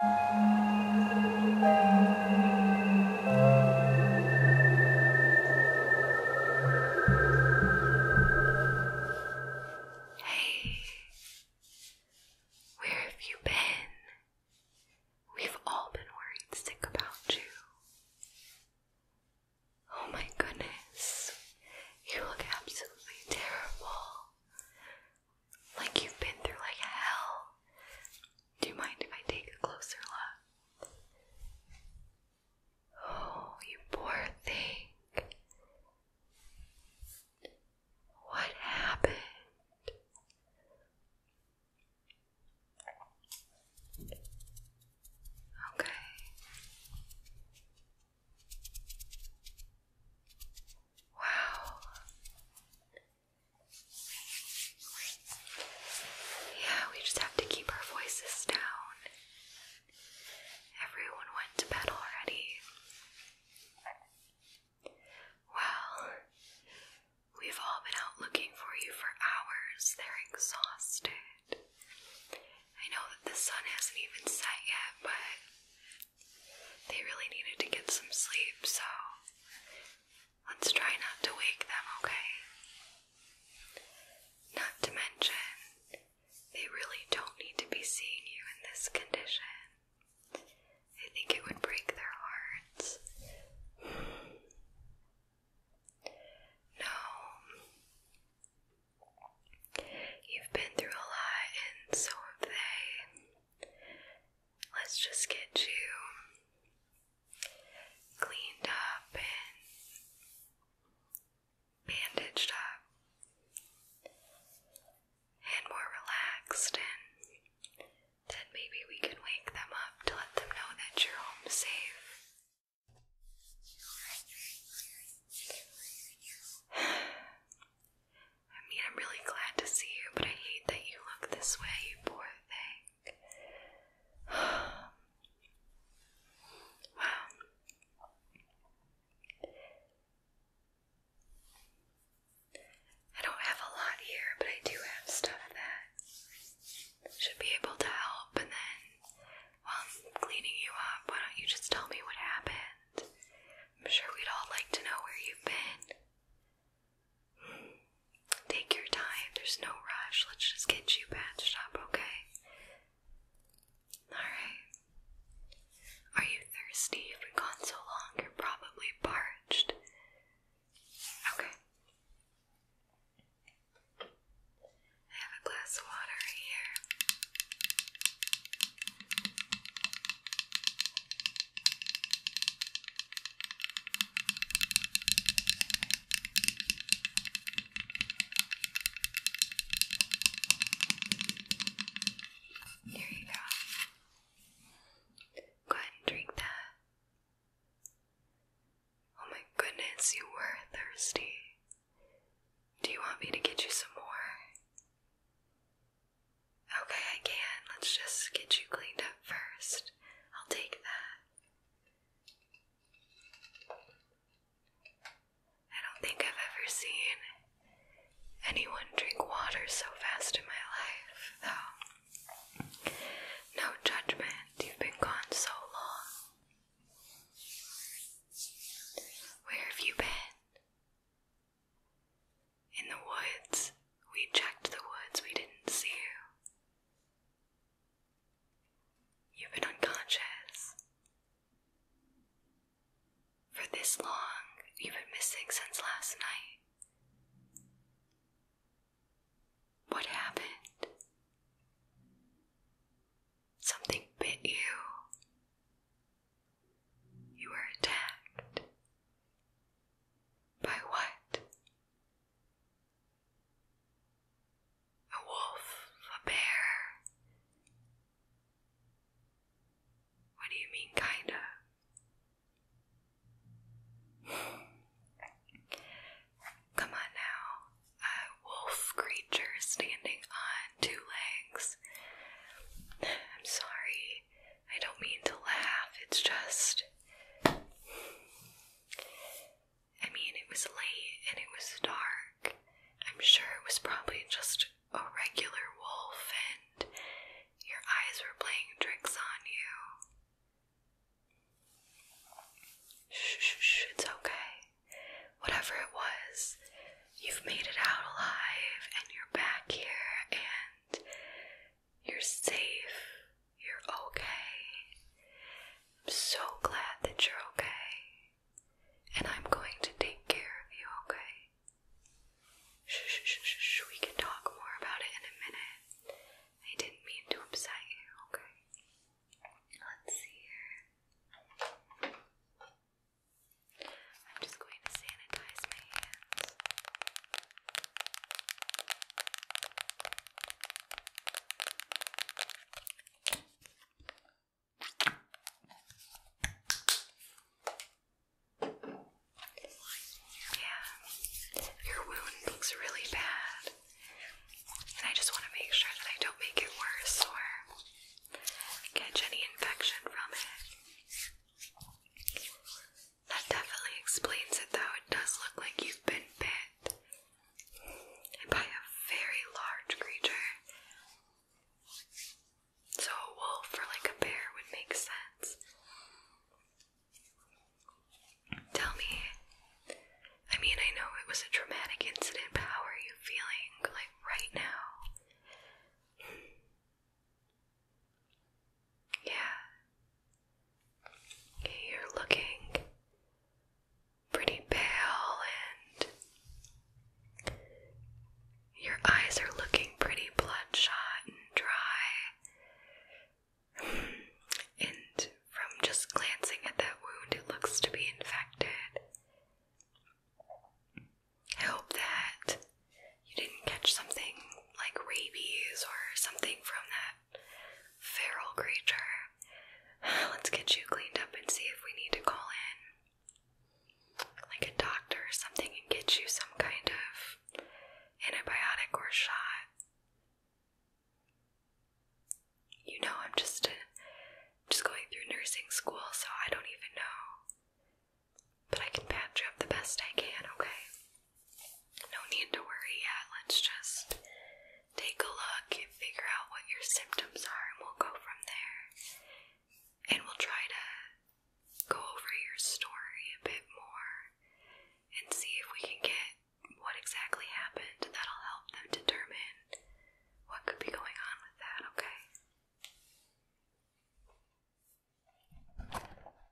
Hey, where have you been? We've all been worried sick about you. Oh my goodness, you look absolutely terrible like you've been through like hell. Do you mind if I take a closer look? Oh, you poor thing. What happened? Okay. Wow. Yeah, we just have to keep our voices down. Everyone went to bed already. Well, we've all been out looking for you for hours. They're exhausted. I know that the sun hasn't even set yet, but they really needed to get some sleep, so let's try not to wake them, okay? Not to mention, they really don't need to be seeing you in this condition. I think it would break their hearts. No. You've been through a lot, and so have they. Let's just get you cleaned up and bandaged up and more relaxed, and then maybe we can wake them up to let them know that you're home safe. I mean, I'm really glad to see you, but I hate that you look this way, you poor thing. wow. I don't have a lot here, but I do have stuff that should be able to help. And then while I'm cleaning you up, why don't you just tell me what happened? I'm sure we'd all like to know where you've been. Take your time, there's no rush. Let's just get you patched up, okay? Alright. Are you thirsty? You've been gone so long, you're probably parched. Okay. I have a glass of water here. Here you go. Go ahead and drink that. Oh my goodness, you were thirsty. Do you want me to get you some more? Okay, I can. Let's just get you cleaned up first. I'll take that. I don't think I've ever seen anyone drink water so fast in my life, though. No judgment, you've been gone so long. Where have you been? In the woods, we checked the woods, we didn't see you. You've been unconscious. For this long, you've been missing since last night. What happened? Something bit you. You were attacked. By what? A wolf, a bear. What do you mean, kinda? Come on now. A wolf creature standing on two legs. I'm sorry. I don't mean to laugh, it's just. I mean, it was late and it was dark. I'm sure it was probably just a regular wolf, and your eyes were playing tricks on you. Shh, shh, shh, it's okay. Whatever it was, you've made it out alive, and you're back here, and you're safe. You're okay. I'm so glad that you're okay. And I'm going to take care of you, okay? shh, shh, shh, shh. We can talk more about it in a minute. I didn't mean to upset you, okay? Let's see here. I'm just going to sanitize my hands. Yeah, your wound looks really bad, and I just want to make sure that I don't make it worse or catch any infection from it. That definitely explains it though. It does look like you've been bit by a very large creature. So a wolf or like a bear would make sense. Tell me, I mean, I know it was a traumatic incident, how are you feeling like right now? Yeah. you're looking pretty pale and your eyes are looking pretty bloodshot and dry. And from just glancing at that wound, it looks to be infected. I that you didn't catch something like rabies or something from that feral creature. Let's get you cleaned up and see if we need to call in like a doctor or something and get you some kind of antibiotic or shot. You know, I'm just uh, just going through nursing school, so I don't even know. But I can patch you up the best I can, okay? No need to worry yet. Let's just take a look and figure out what your symptoms are, and we'll go from there. And we'll try to go over your story a bit more and see if we can get what exactly happened. That'll help them determine what could be going on with that, okay?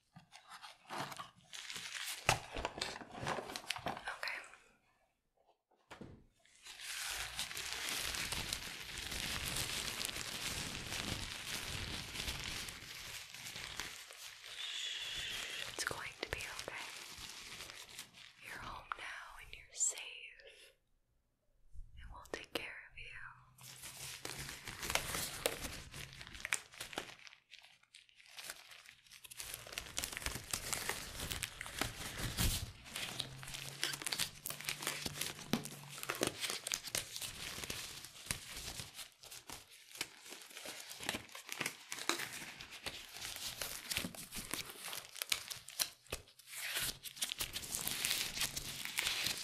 Okay. It's going to be okay. You're home now and you're safe. And will take care of you.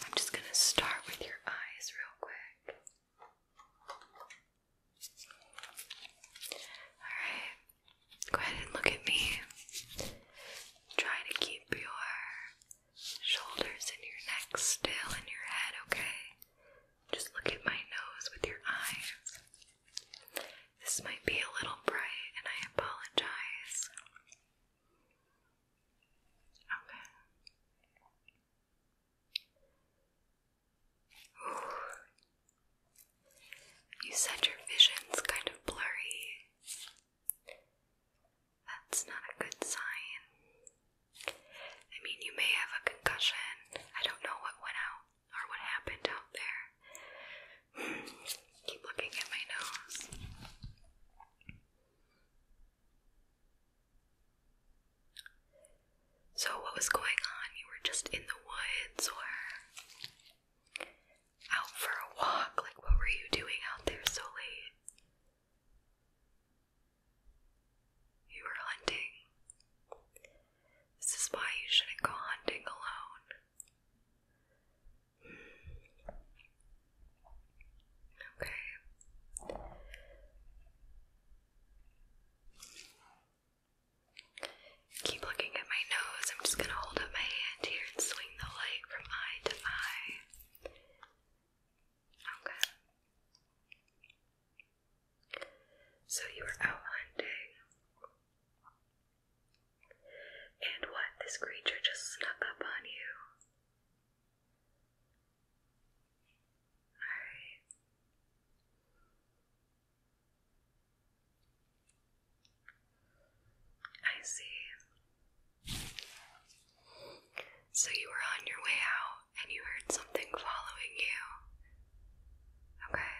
I'm just going to start with your eyes real quick. Alright, go ahead and look at me. Try to keep your shoulders and your neck still and your head, okay? Just look at my nose with your eyes. This might be a little bright, and I apologize. Okay. You said your vision's kind of blurry. That's not a good sign. I mean, you may have a concussion. I don't know what went out or what happened out there. Keep looking at my nose. So, what was going on? You were just in the woods or out for a walk? Like, what were you doing out there so late? You were hunting. This is why you shouldn't go hunting alone. Okay. Keep looking at my nose. I'm just gonna hold up my hand here and swing the light from eye to eye. Okay. So you were out hunting. And what? This creature just snuck up on you. Alright. I see. So you were on your way out and you heard something following you. Okay.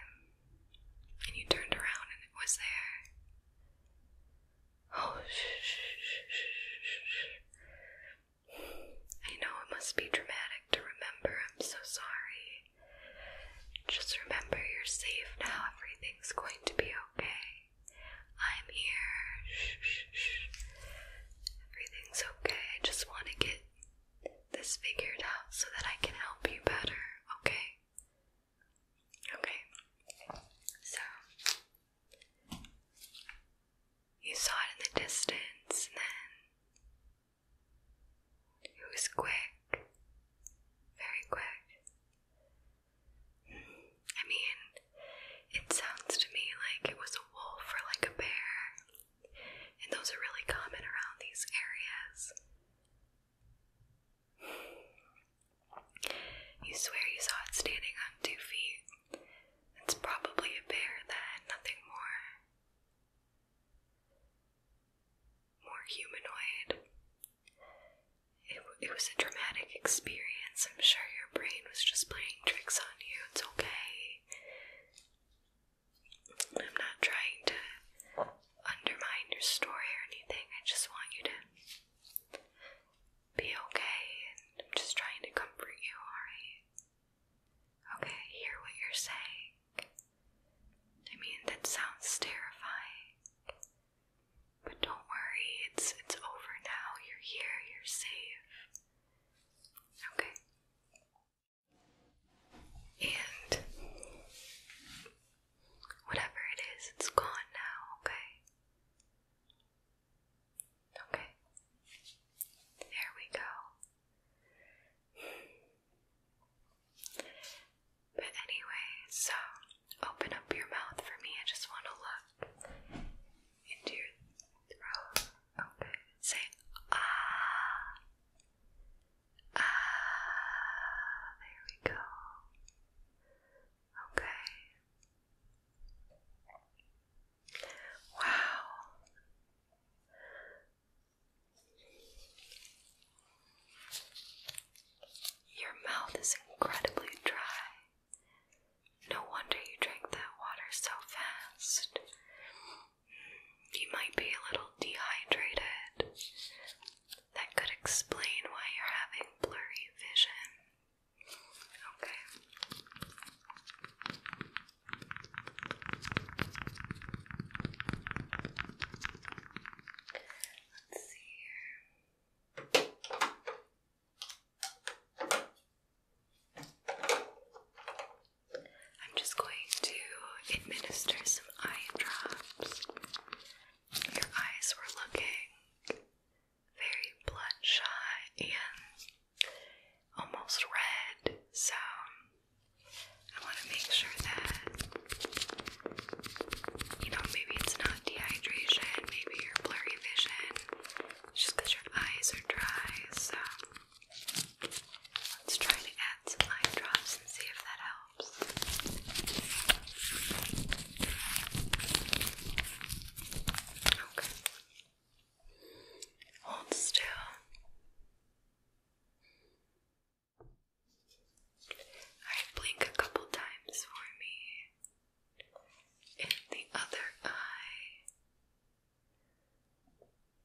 And you turned around and it was there. Oh, shh, shh, shh, shh, I know it must be dramatic to remember. I'm so sorry. Just remember you're safe now. Everything's going to be okay. I'm here. Shh, shh, shh. Everything's okay. I just want to get this figured out so that I can help you better, okay? Okay. So, you saw it in the distance, and then it was quick, very quick. I mean, it sounds to me like it was a wolf or like a bear, and those are really common around these areas. You swear you saw it standing on two feet. It's probably a bear, then, nothing more more humanoid. It, it was a dramatic experience. I'm sure your brain was just playing tricks on you. It's okay. I'm not trying to undermine your story or anything. I just want you to be okay, and I'm just trying to comfort you, alright? Okay, hear what you're saying. I mean, that sounds terrifying. But don't worry, it's it's over now. You're here, you're safe. Okay. And whatever it is, it's gone now, okay? Okay. There we go. But anyway, so open up your mouth for me. I just want to look into your throat. Okay. Say ah. Ah. There we go. Okay. Wow. Your mouth is incredibly dry. No wonder you drank that water so fast. You might be a little dehydrated. That could explain why you're having blurry vision. Okay. Let's see here. I'm just going to administer some eye drops. Your eyes were looking very bloodshot and almost red, so I want to make sure that, you know, maybe it's not dehydration, maybe your blurry vision, just because your eyes are dry. So, let's try to add some eye drops and see if that helps. Okay. Hold still. I blink a couple times for me. And the other eye.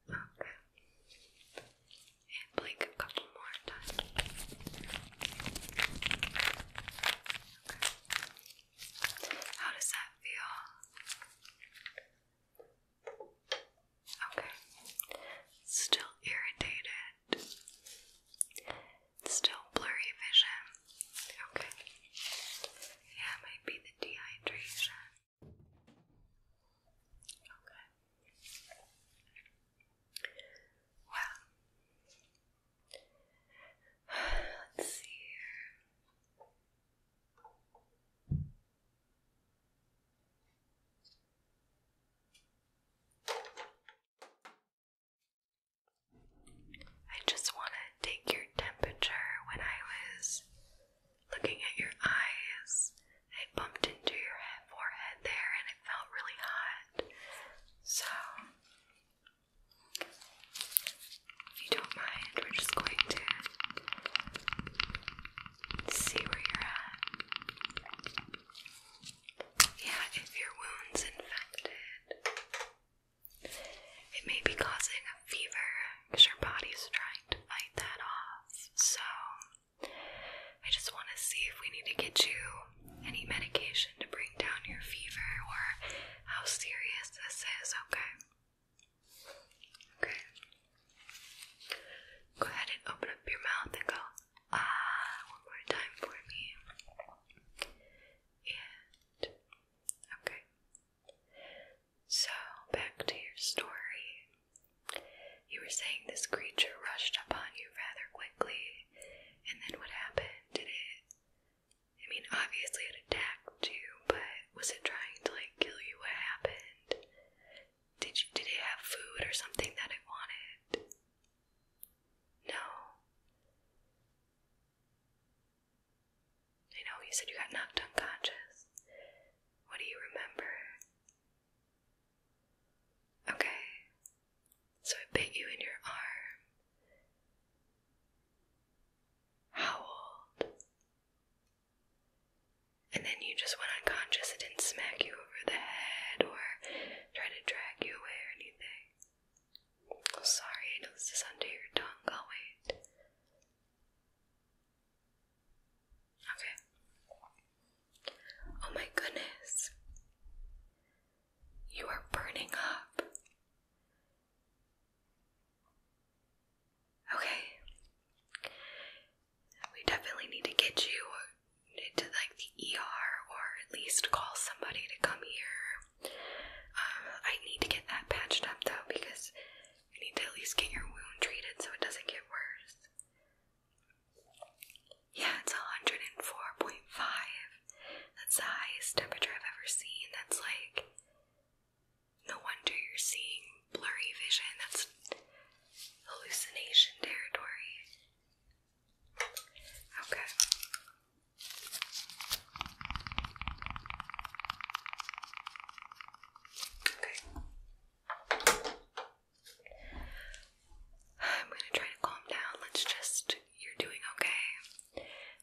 Okay. And blink a couple more times. How does that feel? Okay. Still irritated. Still blurry vision. Okay. Yeah, might be the dehydration. Okay. Well. Let's see here. I just want to take your temperature. When I was looking at your eyes, I bumped into your forehead there and it felt really hot. So, if you don't mind, we're just going to see where you're at. Yeah, if your wound's infected, it may be causing a fever because your body's trying to fight that off. So, I just want to see if we need to get you any medication to bring down your fever or how serious this is, okay? Okay. Go ahead and open up your mouth and go ah one more time for me. And okay. So back to your story. You were saying this creature rushed upon you rather quickly, and then what happened? Did it? I mean, obviously it attacked you, but was it trying to like kill you? What happened? Did you, did it have food or something that I wanted? No. I know you said you got knocked unconscious. What do you remember? Okay. So it bit you in your arm. How old? And then you just went unconscious. It didn't smack you over the head or try to drag you away or anything. Oh, sorry, this is under your tongue. I'll wait. Okay. Oh my goodness. You are burning up. Okay we definitely need to get you to like the ER or at least call somebody to come here. Um, I need to get that patched up though because you need to at least get your wound treated so it doesn't get worse. Yeah, it's 104.5. That's the highest temperature I've ever seen. That's like no wonder you're seeing blurry vision. That's hallucination territory. Okay. Okay. I'm going to try to calm down. Let's just, you're doing okay.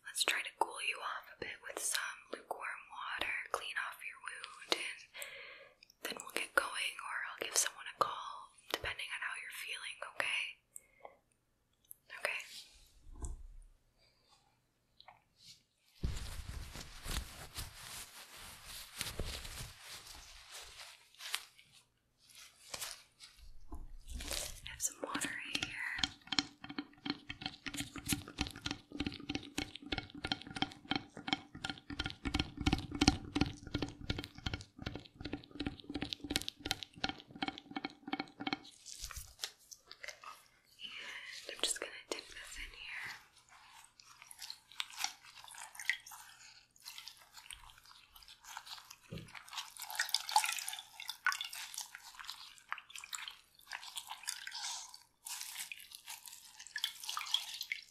Let's try to cool you off a bit with some lukewarm water, clean off your wound, then we'll get going, or I'll give someone a call, depending on how you're feeling, okay? Okay. I have some water right here. And I'm just going to dip this in here. Okay.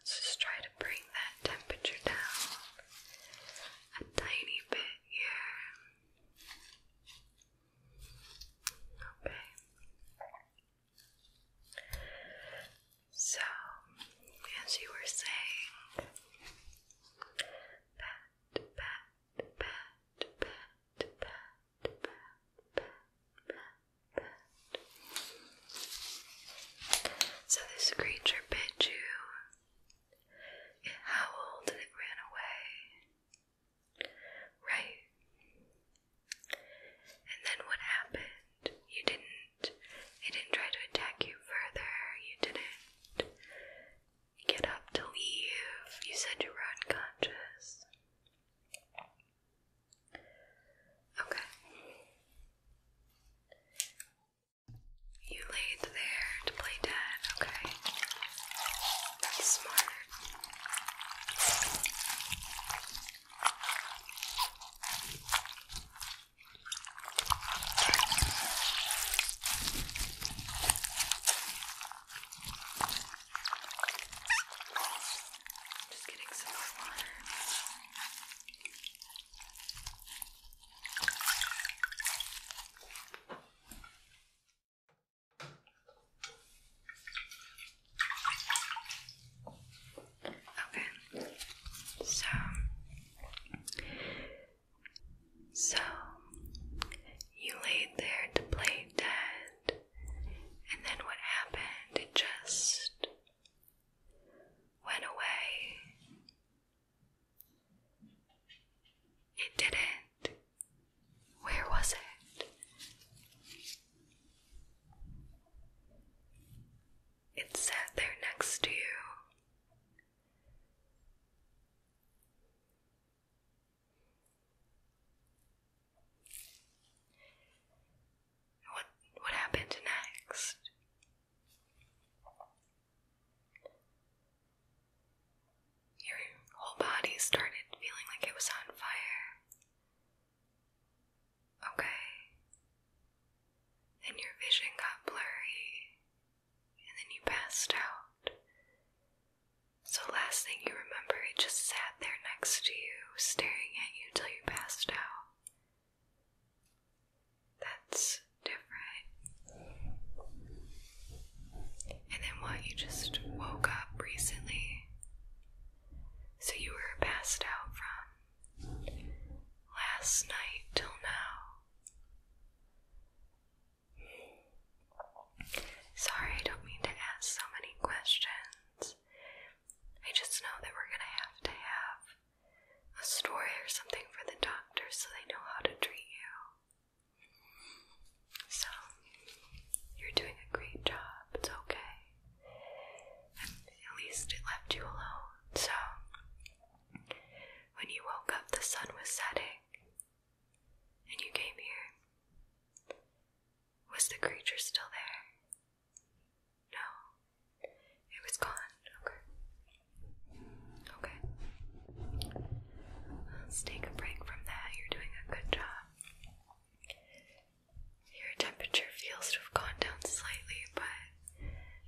Let's just try to bring that temperature down a tiny bit here. Okay. So, as you were saying, pat, pat, pat, pat, pat, pat, pat, pat, pat. So this creature bit you, it howled and it ran away. Right. And then what happened? You didn't, it didn't try to attack you further, you didn't get up to leave, you said you were unconscious. Okay. You laid there to play dead, okay? smart. Just getting some more water. Okay, so so you laid there to play dead, and then what happened? It just went away. It didn't. Where was it? It sat there next to you. What what happened next? Your whole body started feeling like it was on fire. Okay. Then your vision got blurry, and then you passed out. So, last thing you remember, it just sat there next to you, staring at you till you passed out. That's different. And then what? You just woke up recently. So you were passed out from last night till now. Sorry, I don't mean to ask so many questions. I just know that we're gonna have to have a story or something for the doctors, so they know how to treat you. So, you're doing a great job, it's okay. at least it left you alone. So, when you woke up, the sun was setting and you came here. Was the creature still there? No. It was gone. Okay. Okay. Let's take a break from that. You're doing a good job. Your temperature feels to have gone down slightly, but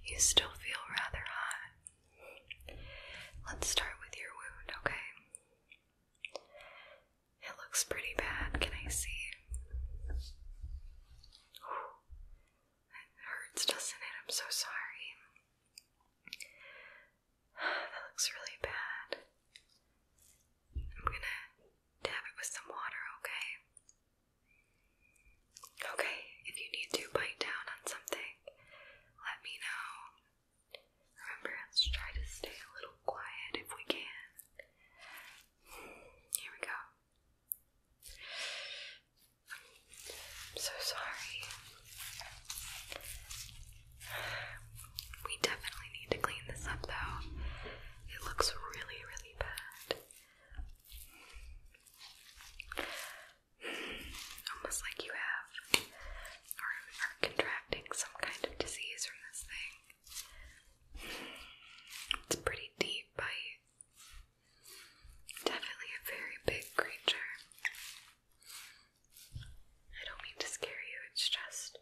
you still feel rather hot. Let's start with your wound, okay? It looks pretty bad. Can I see? It hurts, doesn't it? I'm so sorry. That looks really bad. I'm gonna dab it with some water, okay? Okay, if you need to bite down on something, let me know. Remember, let's try to stay a little quiet if we can. Here we go. I'm so sorry. We definitely need to clean this up though. It looks really, really bad. Almost like you have or are contracting some kind of disease from this thing. It's pretty deep bite. Definitely a very big creature. I don't mean to scare you, it's just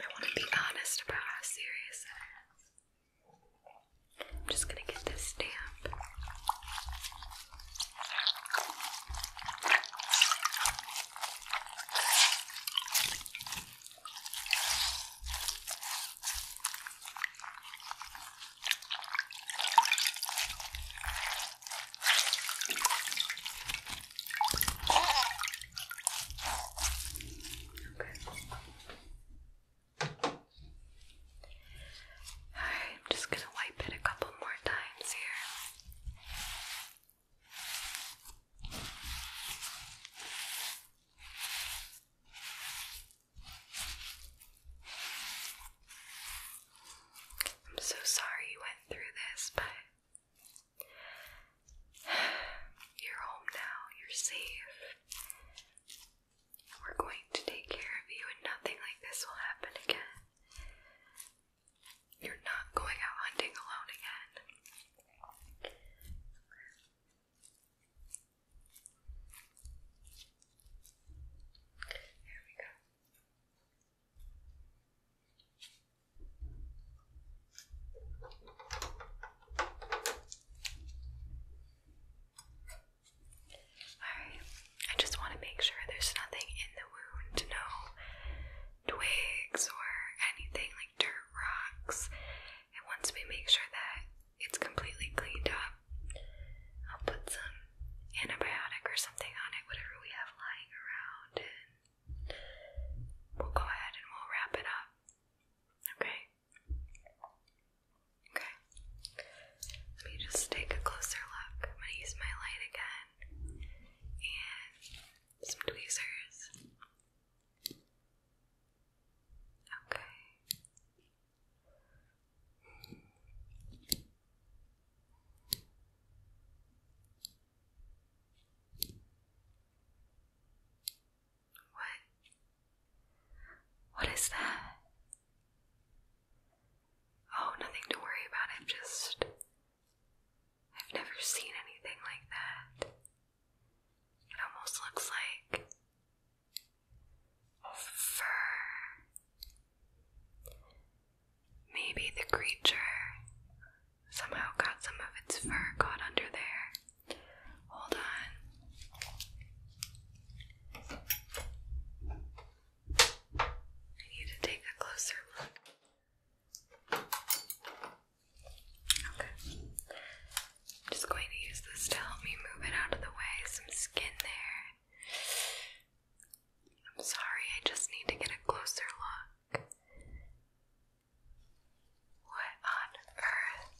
I want to be honest about how serious it is. I'm just gonna get this stamp. Okay. Alright, I'm just going to wipe it a couple more times here. Okay. I'm so sorry you went through this, but you're home now, you're safe. We're going to take care of you, and nothing like this will happen again. You're not going out hunting alone again. Alright, I just want to make sure there's nothing in the wound, no twigs or anything like dirt rocks. And once we make sure that it's completely cleaned up. I'll put some antibiotic or something on it, whatever we have lying around, we'll go ahead and we'll wrap it up. Okay? Okay. Let me just take a closer look. I'm going to use my light again and some tweezers. Okay. What? What is that? Oh, nothing to worry about. I'm just. I've never seen anything like that. It almost looks like fur. Maybe the creature somehow got some of its fur caught under there. Hold on. I need to take a closer look. Okay. just going to use this to help me move it out of the way. Some skin there. I'm sorry, I just need to get a closer look. What on earth?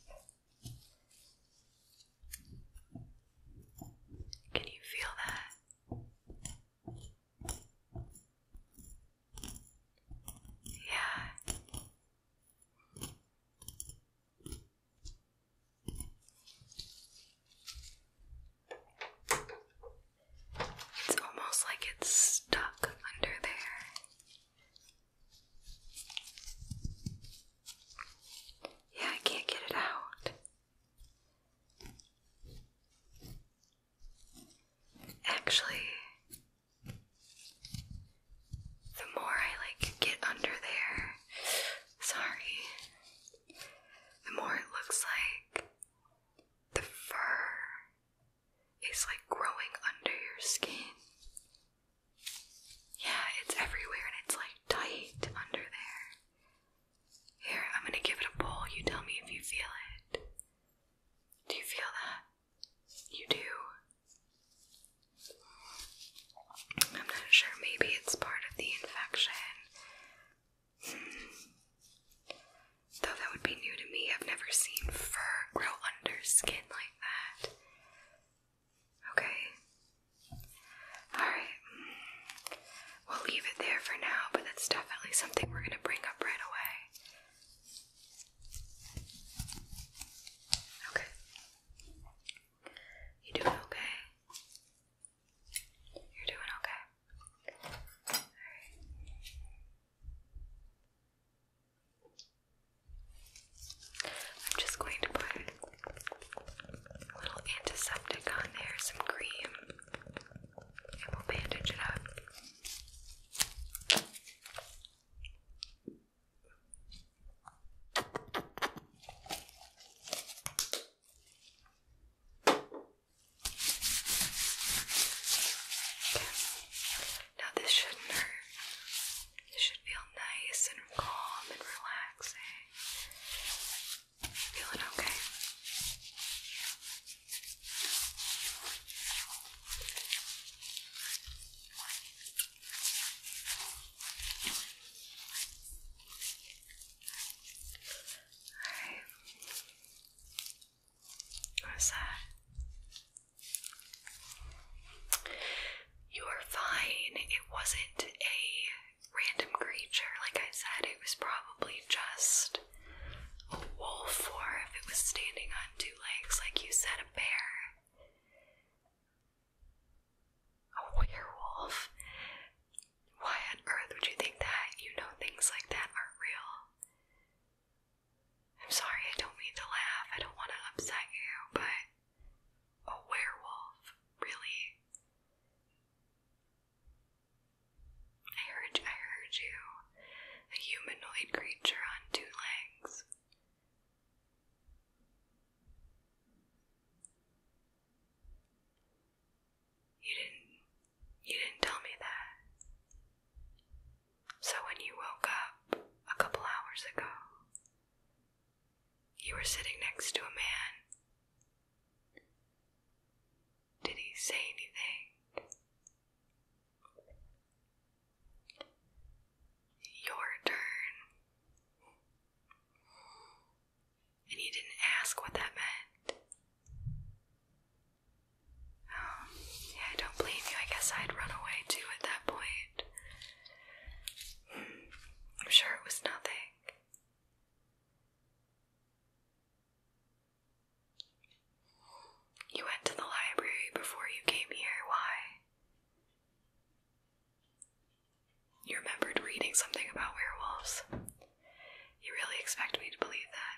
Can you feel that? Yeah. It's almost like it's stuck under there. Yeah, I can't get it out. Actually, the more I like get under there, sorry, the more it looks like the fur is like growing under your skin. Yeah, it's everywhere and it's like tight under there. Here, I'm gonna give it a pull. You tell me if you feel it. Do you feel that? You do. I'm not sure, maybe it's part of the infection. Hmm. Though that would be new to me. I've never seen fur grow under skin like that. Okay. Alright. We'll leave it there for now, but that's definitely something we're going to bring up right away. Okay. You doing okay? You're doing okay. right. I'm just going to put a little antiseptic on there, some cream, and we'll bandage it up. Now this shouldn't hurt. It should feel nice and calm and relaxing. Feeling Okay. What's that? You are fine. It wasn't a random creature. Like I said, it was probably just a wolf, or if it was standing on two legs, like you said, a bear. A werewolf? Why on earth would you think that? You know things like that are real. I'm sorry, I don't mean to laugh. I don't want to upset you, but a werewolf? Really? I heard, I heard you. A humanoid creature on two legs. You didn't you didn't tell me that. So when you woke up a couple hours ago, you were sitting next to a man. Did he say anything? Your turn and you didn't ask what that meant. Um, yeah, I don't blame you. I guess I'd run away too at that point. I'm sure it was nothing. You went to the library before you came here. Why? You remembered reading something about werewolves. You really expect me to believe that?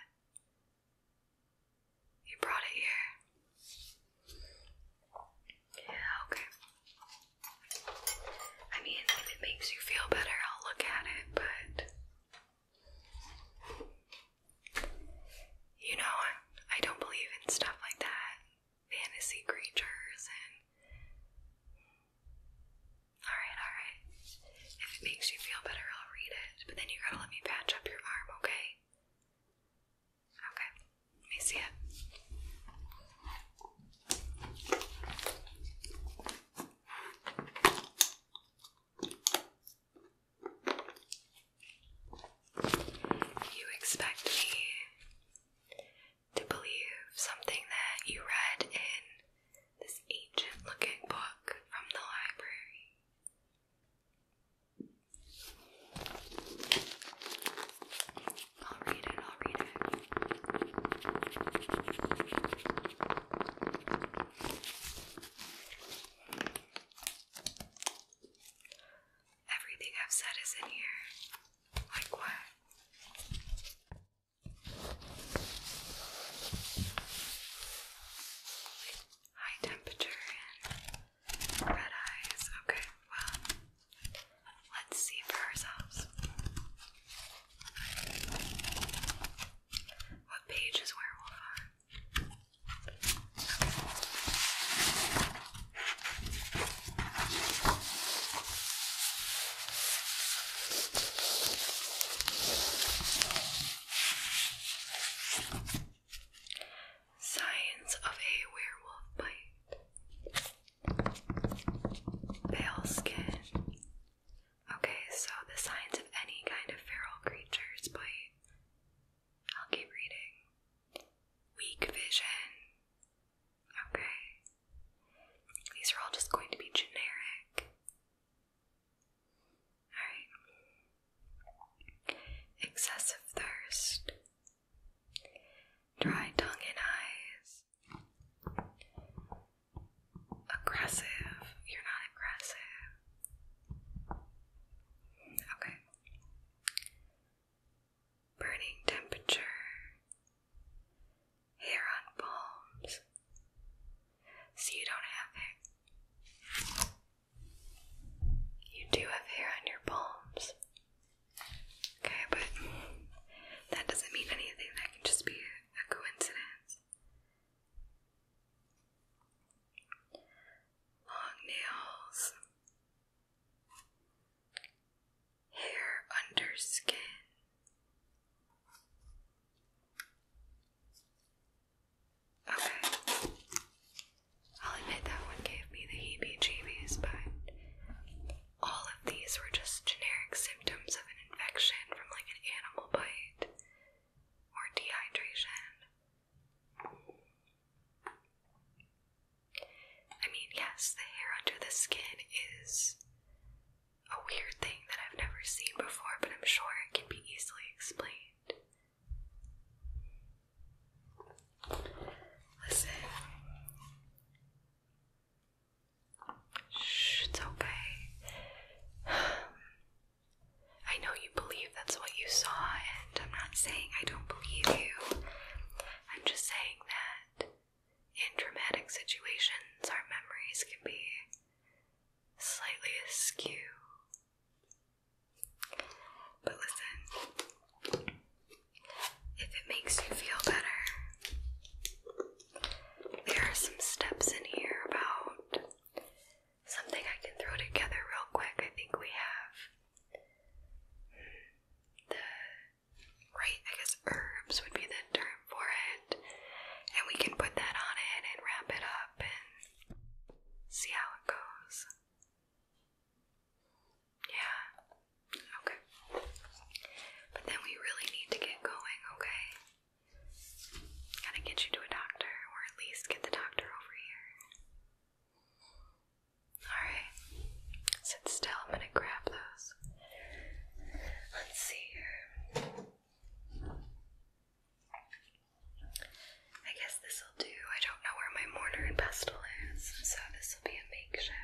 You brought it here. Yeah, okay. I mean, if it makes you feel better, I'll look at it, but. You know, I don't believe in stuff like that fantasy creatures and. Alright, alright. If it makes you feel better, I'll read it. But then you gotta let me patch up your arm, okay? Okay. Let me see it. You expect me to believe something that you read in this ancient looking book from the library. I'll read it, I'll read it. Everything I've said is in here. Like what? High temperature and red eyes. Okay, well, let's see for ourselves. What page is werewolf on? Signs of a werewolf bite. Pale skin. Okay, so the signs of any kind of feral creature's bite. I'll keep reading. Weak vision. Okay. These are all just going to be generic. Alright. Excessive thirst. Dry tongue and eyes. Aggressive. You're not aggressive. Okay. Burning temperature hair on palms so you don't have hair. You do have hair on your palms. Okay, but that doesn't mean anything. That can just be a coincidence. Long nails hair under skin. Okay. I'll admit that one gave me the heebie jeebies, but all of these were just generic symptoms of an infection from like an animal bite or dehydration. I mean, yes, the hair under the skin is a weird thing that I've never seen before, but I'm sure it can be easily explained. Listen. Shh, it's okay. I know you believe that's what you saw, and I'm not saying I don't believe you. I'm just saying that in dramatic situations, our memories can be slightly askew. But listen, if it makes you feel better, there are some steps in here about something I can throw together real quick. I think we have the right, I guess herbs would be the term for it, and we can put that on it and wrap it up and see how it goes. Yeah, okay. But then we really need to get going, okay? Gotta get you to a doctor, or at least get the doctor over here. Alright, sit still. I'm gonna grab those. Let's see here. I guess this will do. I don't know where my mortar and pestle is, so this will be a makeshift.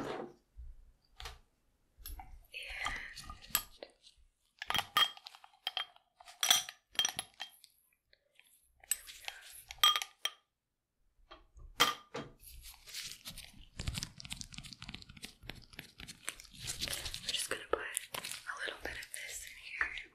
And I'm just going to put a little bit of this in here.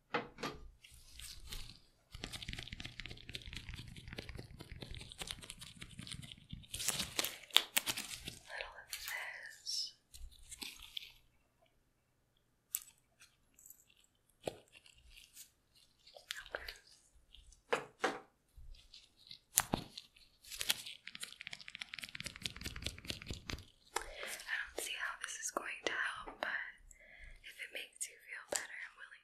Little of this. I don't see how this is going to help, but if it makes you feel better, I'm willing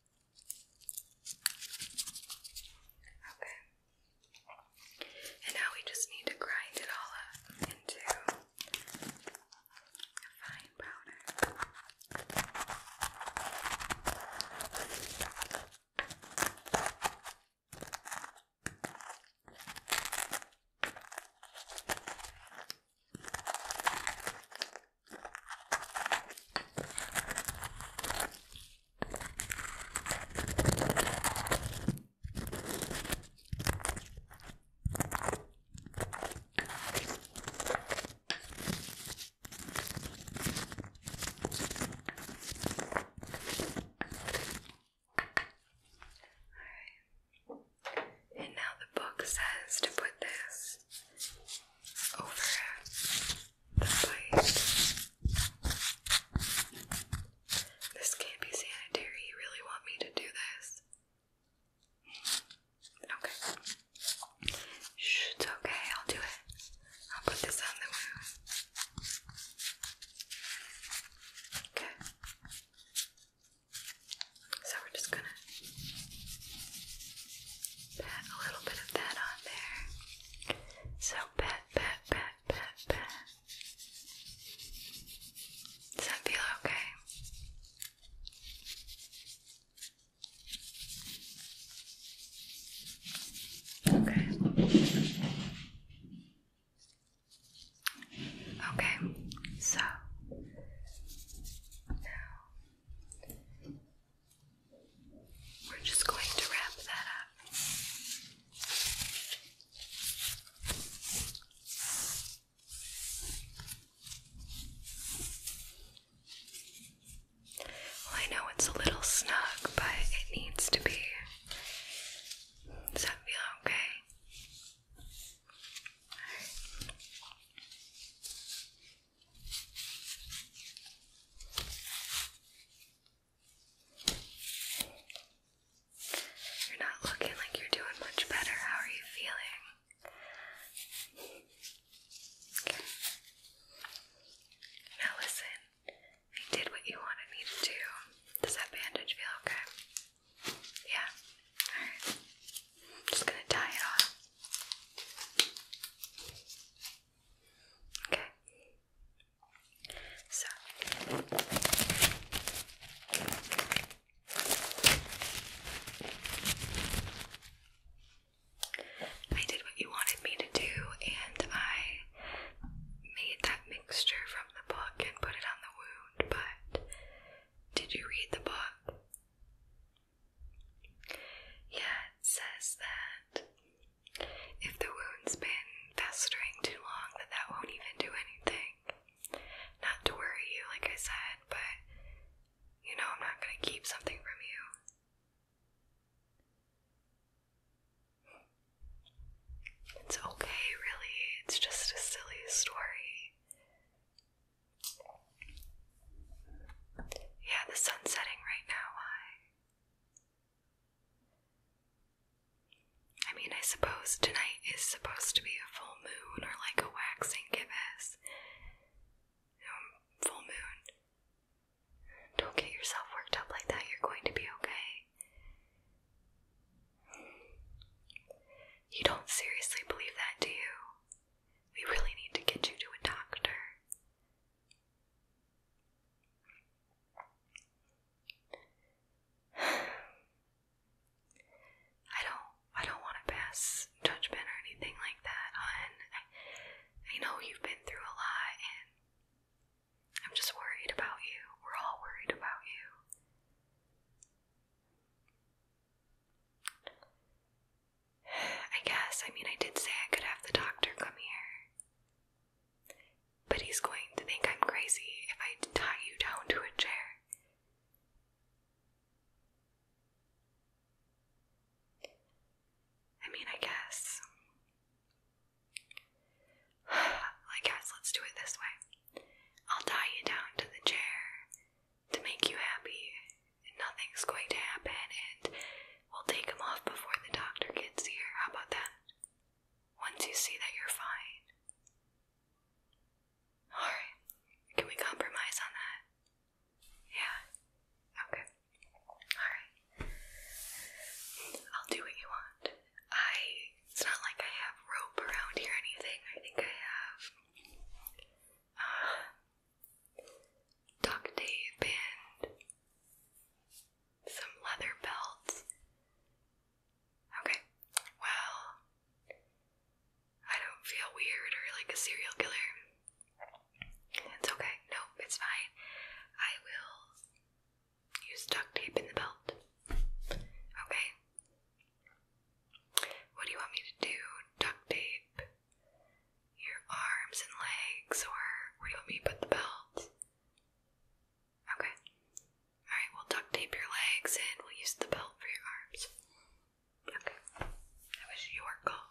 Okay. And now we just need to grind it all up into a fine powder. All right. And now the book says to put this over this can't be sanitary. You really want me to do this? Okay. it's okay. I'll do it. I'll put this on the wound. Okay. So we're just gonna pat a little bit of that on there. So pat, pat, pat, pat, pat. Does that feel okay? Okay. Okay, so now we're just going to wrap that up. Well, I know it's a little snug, but it needs to be. Does that feel okay? You're not looking like you're doing much better. How are you feeling? Now listen, I did what you wanted me to do. Does that bandage feel okay? Yeah. Alright. I'm just gonna tie it off. Okay. So I did what you wanted me to do, and I made that mixture from the book and put it on the wound. But did you read the book? Yeah, it says that if the wound's been festering too long, that that won't even do anything. Not to worry you, like I said, but you know, I'm not going to keep something from you. It's okay, really. It's just a silly story. Yeah, the sun's setting right now. Why? I mean, I suppose tonight is supposed to be a full moon or like a waxing gibbous. Um, full moon. Don't get yourself worked up like that, you're going to be okay. You don't seriously believe that, do you? We really need to get you to a doctor. I don't I don't want to pass judgment or anything like that on I, know you've been through a lot and I'm just worried about you. We're all worried about you. I guess, I mean, I did say I could have the doctor come here. But he's going to think I'm crazy if I tie you down to a chair. I mean, I guess. I guess let's do it this way. I'll tie you down to the chair to make you happy, nothing's going to happen, and We'll take him off before the doctor gets here. How about that? Once you see that you're fine. Alright. Can we compromise on that? Yeah. Okay. Alright. I'll do what you want. I. It's not like I have rope around here or anything. I think I have. Uh, duct tape and some leather belts. Okay, well, I don't feel weird or like a serial killer. It's okay, no, it's fine. I will use duct tape in the belt. Okay. What do you want me to do? Duct tape your arms and legs, or where do you want me to put the belt? Okay. Alright, we'll duct tape your legs and we'll use the belt for your arms. Okay. That was your call.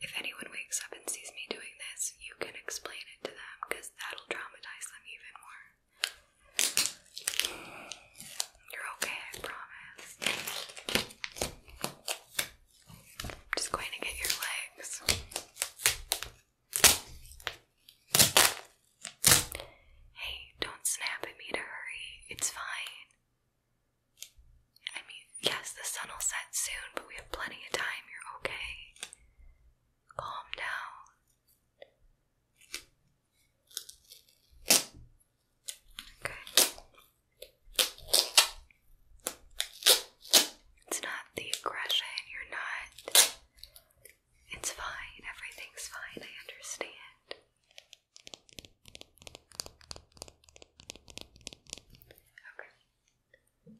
If anyone wakes up and sees me doing this, you can explain it to them that'll traumatize them even more. You're okay, I promise. just going to get your legs. Hey, don't snap at me to hurry. It's fine. I mean, yes, the sun will set soon, but we have plenty of time. You're okay. Calm down. Okay. It's not the aggression. You're not it's fine, everything's fine, I understand.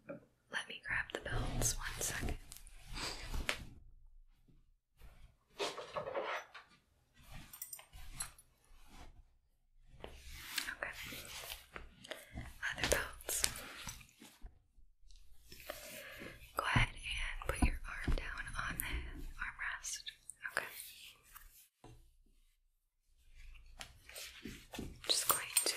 Okay. Let me grab the belts one second. Okay. Leather belts. Go ahead and put your arm down on the armrest. Okay. just going to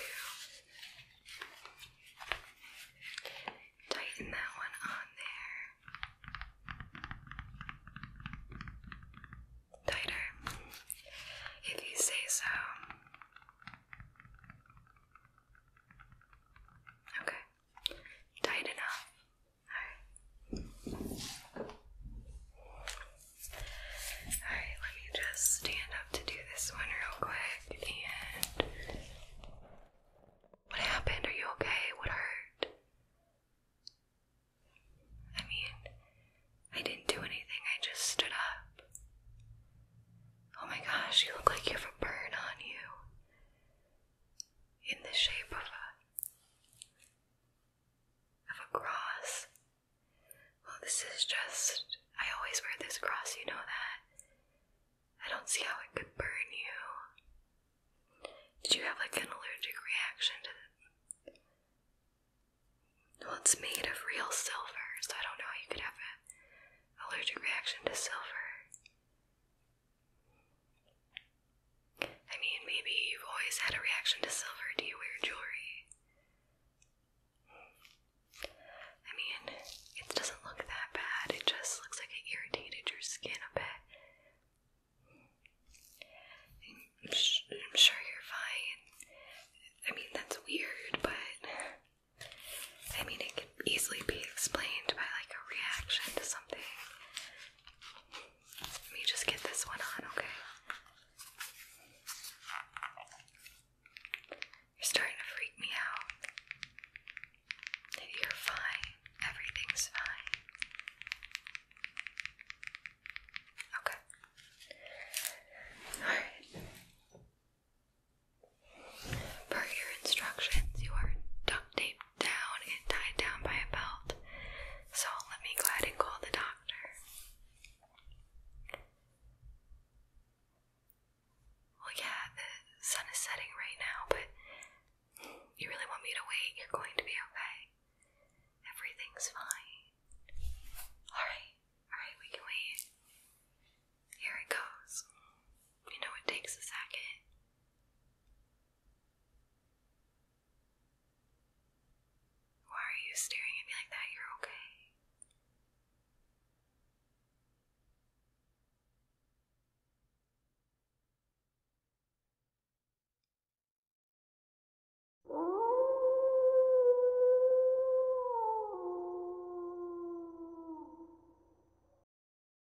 tighten that one on there. Tighter, if you say so. Okay. Tight enough. Alright. Alright, let me just stand up to do this one real quick. And. What happened? Are you okay? What hurt? I mean, I didn't do anything, I just stood up. Oh my gosh, you look like you have a burn on you in the shape of a of a cross. Well, this is just I always wear this cross, you know that. I don't see how it could burn you. Did you have like an allergic reaction to it? Well, it's made of real silver, so I don't know how you could have an allergic reaction to silver. I mean, maybe you've always had a reaction to silver. Do you wear jewelry? I mean, it doesn't look that bad, it just looks like it irritated your skin a bit. I'm, sure you're fine. I mean, that's weird, but I mean, it easily be explained by like a reaction to something. Let me just get this one on, okay? You're starting to freak me out. You're fine. Everything's fine. Okay. Alright. Per your instructions, you are duct taped down. and tied down by a belt. So let me go ahead and call the doctor. Well, yeah, the sun is setting right now, but you really want me to wait? You're going to be okay. Everything's fine. Alright, alright, we can wait. Here it goes. You know, it takes a second. Why are you staring at me like that? You're okay.